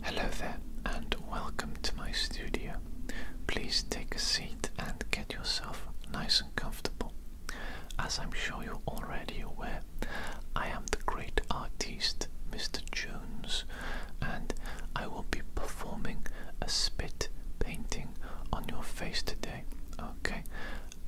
Hello there and welcome to my studio. Please take a seat and get yourself nice and comfortable. As I'm sure you're already aware, I am the great artist Mr. Jones and I will be performing a spit painting on your face today. Okay,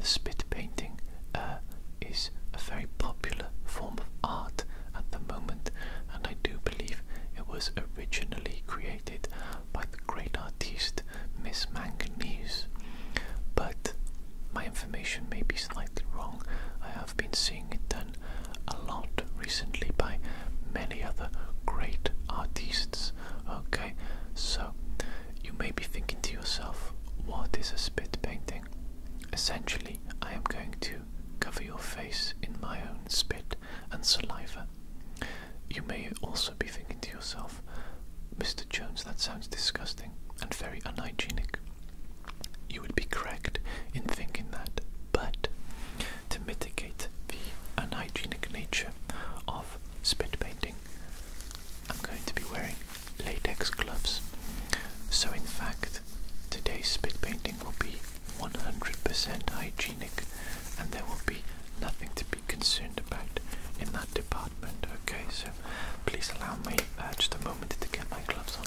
spit painting uh, is a very popular form of art at the moment, and I do believe it was originally created by the great artist Miss Manganese. But my information may be slightly wrong. I have been seeing it done a lot recently by many other great artists. Okay, so you may be thinking to yourself, what is a spit painting? Essentially, I am going to cover your face in my own spit and saliva. You may also be thinking to yourself, Mr. Jones, that sounds disgusting and very unhygienic. You would be correct in thinking that, but to mitigate the unhygienic nature of spit painting, I'm going to be wearing latex gloves. So, in fact, Today's spit painting will be 100% hygienic and there will be nothing to be concerned about in that department. Okay, so please allow me uh, just a moment to get my gloves on.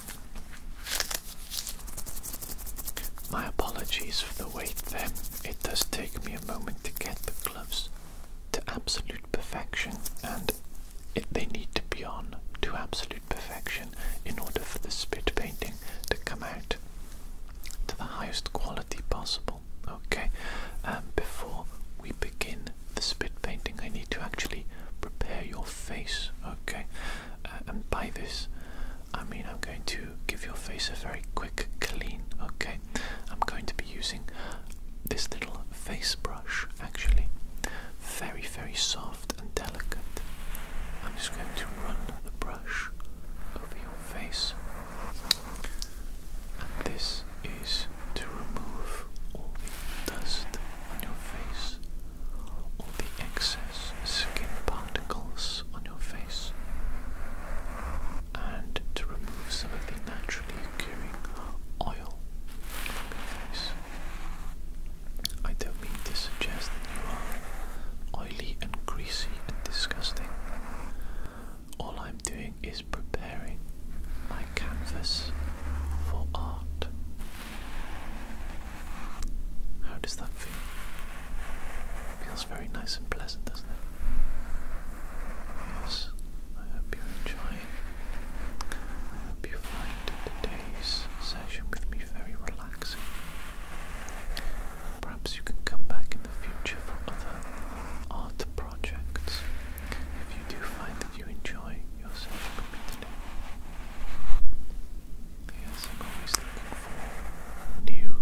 My apologies for the wait then. It does take me a moment to get the gloves to absolute perfection, and they need to be on to absolute perfection in order for the spit painting to come out to the highest quality possible. Okay, um, before we begin the spit painting, I need to actually prepare your face. Okay, uh, and by this, I mean, I'm going to give your face a very quick clean, okay? I'm going to be using this little face brush actually. Very, very soft and delicate. I'm just going to run the brush over your face. And this is to remove all the dust on your face all the excess skin particles on your face and to remove some of the naturally occurring oil from your face. I don't mean to suggest that you are oily and greasy and disgusting. All I'm doing is preparing my canvas for art. How does that feel? Feels very nice and pleasant, doesn't it? Yes, I hope you're I hope you find today's session with me very relaxing. Perhaps you can come back in the future for other art projects if you do find that you enjoy your session with me today. I'm always looking for new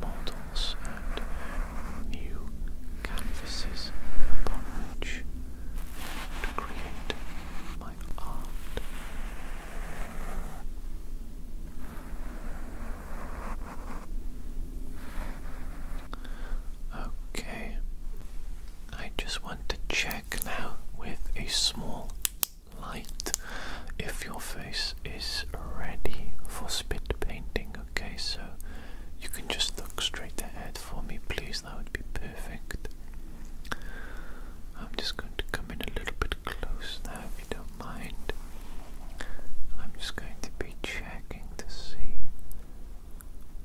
models and new canvases upon which to create my art. Okay, I just want to check now with a small light if your face is ready for spit painting. Okay, so you can just look straight ahead for me, please. That would be perfect. I'm just going to come in a little bit close now, if you don't mind. I'm just going to be checking to see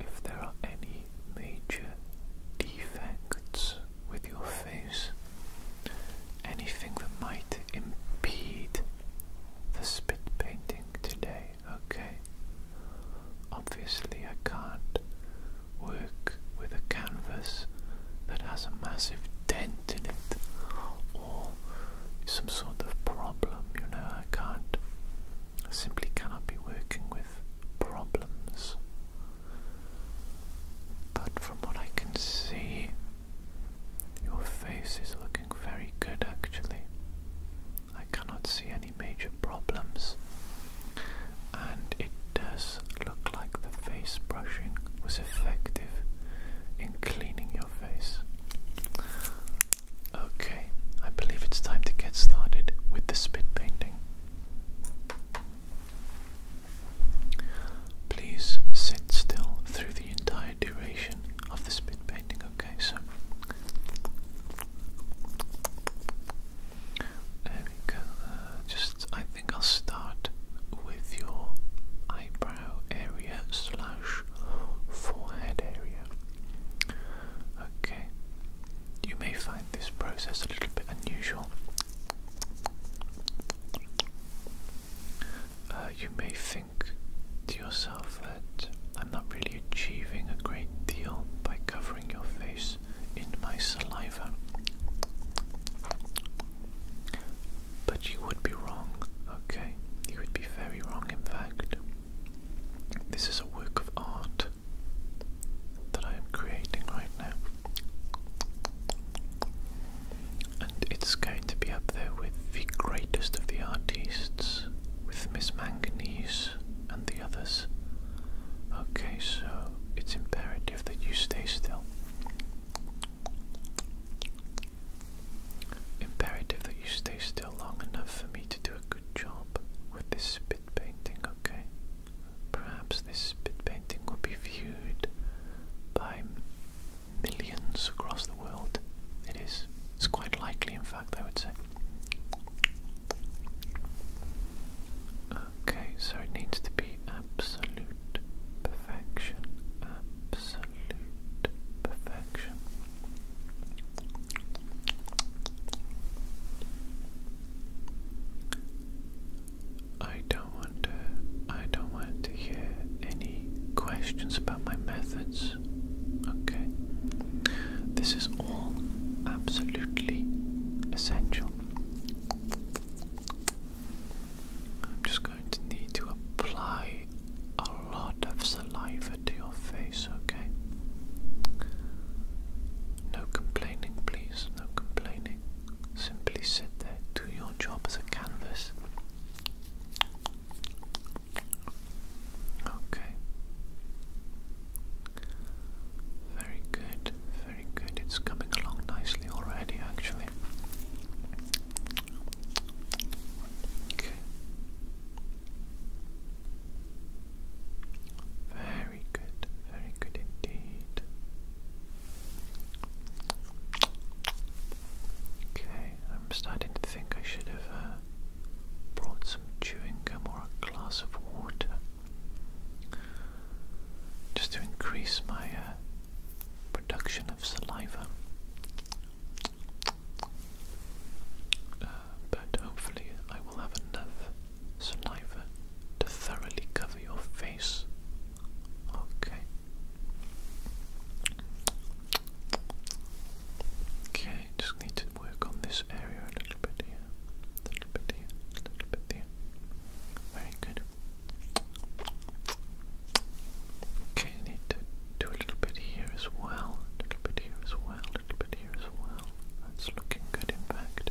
if there are any major defects with your face anything that might impede the spit painting today, okay? Obviously, I can't work with a canvas that has a massive dent in it or some sort of problem, you know. I can't, I simply cannot be working with problems. But from what I can see, your face is looking very good actually. I cannot see any major problems, and it does look like the face brushing was effective in cleaning your face. Okay, I believe it's time to get started with the spit painting. Please sit still through the entire duration of the spit painting, okay? So, uh, just, I think I'll start with your eyebrow area slash forehead area. Okay. You may find this process a little bit unusual, uh, you may think to yourself that I'm not really achieving a great deal by covering your face in my saliva. But you would be wrong, okay? You would be very wrong, in fact. This is a work of art that I am creating right now. And it's going to be up there with the greatest of the artists, with Miss Manganese and the others. Okay, so it's imperative that you stay still. Imperative that you stay still long enough for me to do a good job with this spit painting, okay? Perhaps this spit painting would be viewed by millions across the world. It is. It's quite likely, in fact, I would say. Okay, so it needs to be absolute perfection. Absolute perfection. I don't want to I don't want to hear any questions about my methods. Okay. This is all absolutely essential. I'm just going to need to apply a lot of saliva to your face, okay? No complaining, please. No complaining. Simply sit there, do your job as a canvas. Okay. Very good, very good. It's coming along nicely already, actually. Okay. Very good, very good indeed. Okay, I'm starting to think I should have uh, brought some chewing gum or a glass of water just to increase my uh, production of saliva. Uh, but hopefully, I will have enough saliva to thoroughly cover your face Okay. Okay, just need to work on this area a little bit here, a little bit here, a little bit there. Very good. Okay, need to do a little bit here as well, a little bit here as well, a little bit here as well. That's looking good, in fact.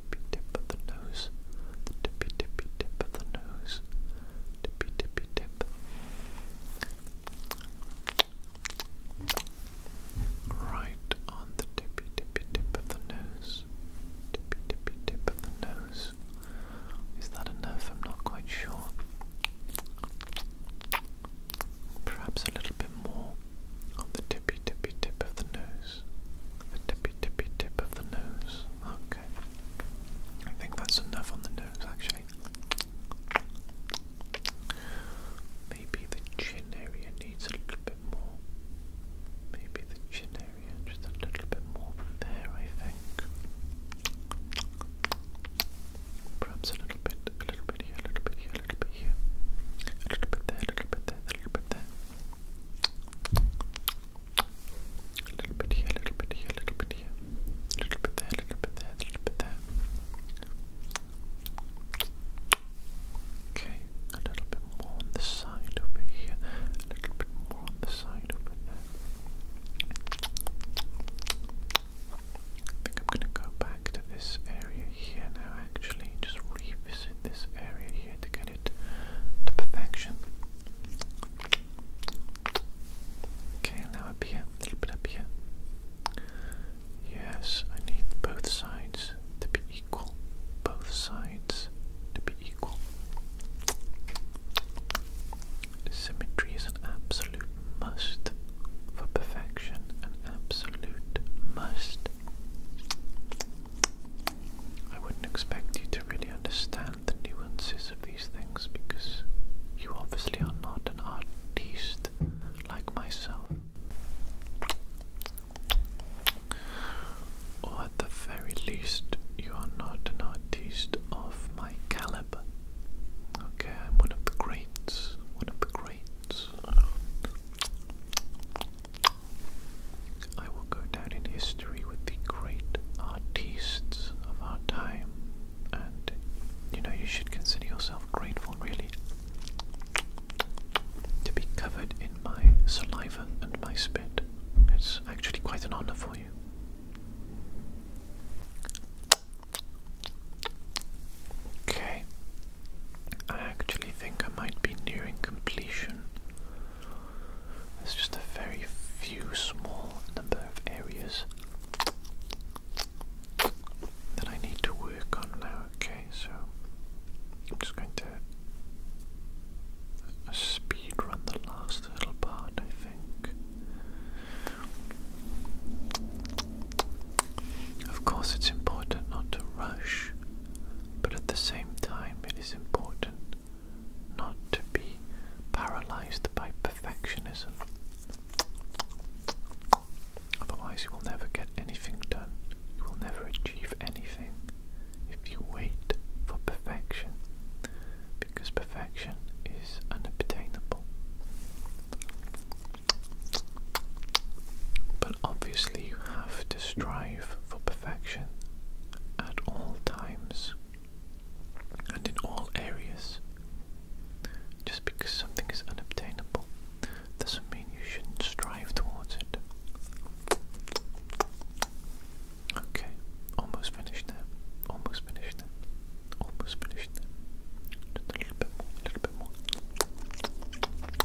tippy tip of the nose, tippy tippy tip of the nose, tippy tippy tip. Right on the tippy tippy tip of the nose, tippy tippy tip of the nose. Is that enough? I'm not quite sure. Perhaps a little bit more on the tippy tippy tip of the nose. The tippy tippy tip of the nose. Okay. I think that's enough on the nose actually. Maybe the chin area needs a little bit more. Maybe the chin area just a little bit more there I think. Perhaps a little bit, a little bit here, a little bit here, a little bit here. A little bit there, a little bit there, a little bit here, a little bit here, a little bit here. A little bit there, a little bit there, a little bit there. Okay, a little bit more on this side over here. A little bit more on the side over there. I think I'm gonna go back to this area here now actually just revisit this area here to get it to perfection. Okay, now up here, a little bit up here. Yes, I need both sides to be equal. Both sides to be equal. Symmetry is an absolute must for perfection, an absolute must. I wouldn't expect you to really understand the nuances of these things because you obviously are not an artist like myself. Or at the very least, you are not an artist of my caliber. Okay, I'm one of the greats. One of the greats. I will go down in history with the great artistes of our time, and you know, you should consider yourself grateful, really, to be covered in my saliva and my spit. It's actually quite an honor for you. Okay, I actually think I might be nearing completion. There's just a very few small number of areas that I need to work on now, okay? So I'm just going to uh, speed run the last little part, I think. Of course, it's important not to rush but at the same time, it is important not to be paralyzed by perfectionism. Otherwise, you will never get anything done. You will never achieve anything if you wait for perfection, because perfection is unobtainable. But obviously, you have to strive for perfection at all times and in all areas. Just because something is unobtainable doesn't mean you shouldn't strive towards it. Okay, almost finished there. Almost finished there. Almost finished there. Just a little bit more, a little bit more.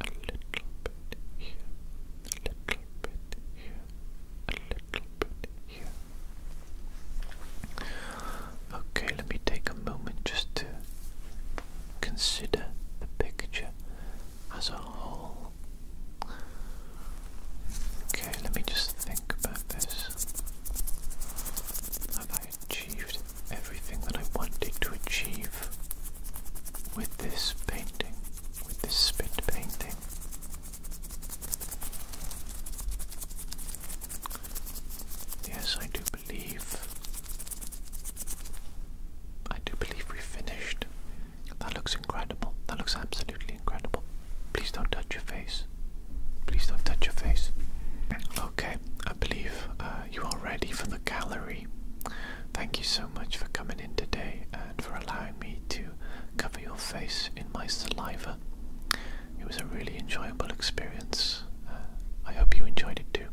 a little bit here, a little bit here, a little bit here. Okay, let me take a moment just to consider the picture as a whole. Okay, let me just think about this. Have I achieved everything that I wanted to achieve? with this painting, with this spit painting. Yes, I do believe. I do believe we finished. That looks incredible. That looks absolutely incredible. Please don't touch your face. Please don't touch your face. Okay, I believe uh, you are ready for the gallery. Thank you so much for coming in today and for allowing me to cover your face in my saliva. It was a really enjoyable experience. Uh, I hope you enjoyed it too.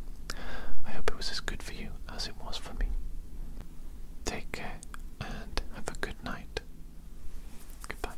I hope it was as good for you as it was for me. Take care and have a good night. Goodbye.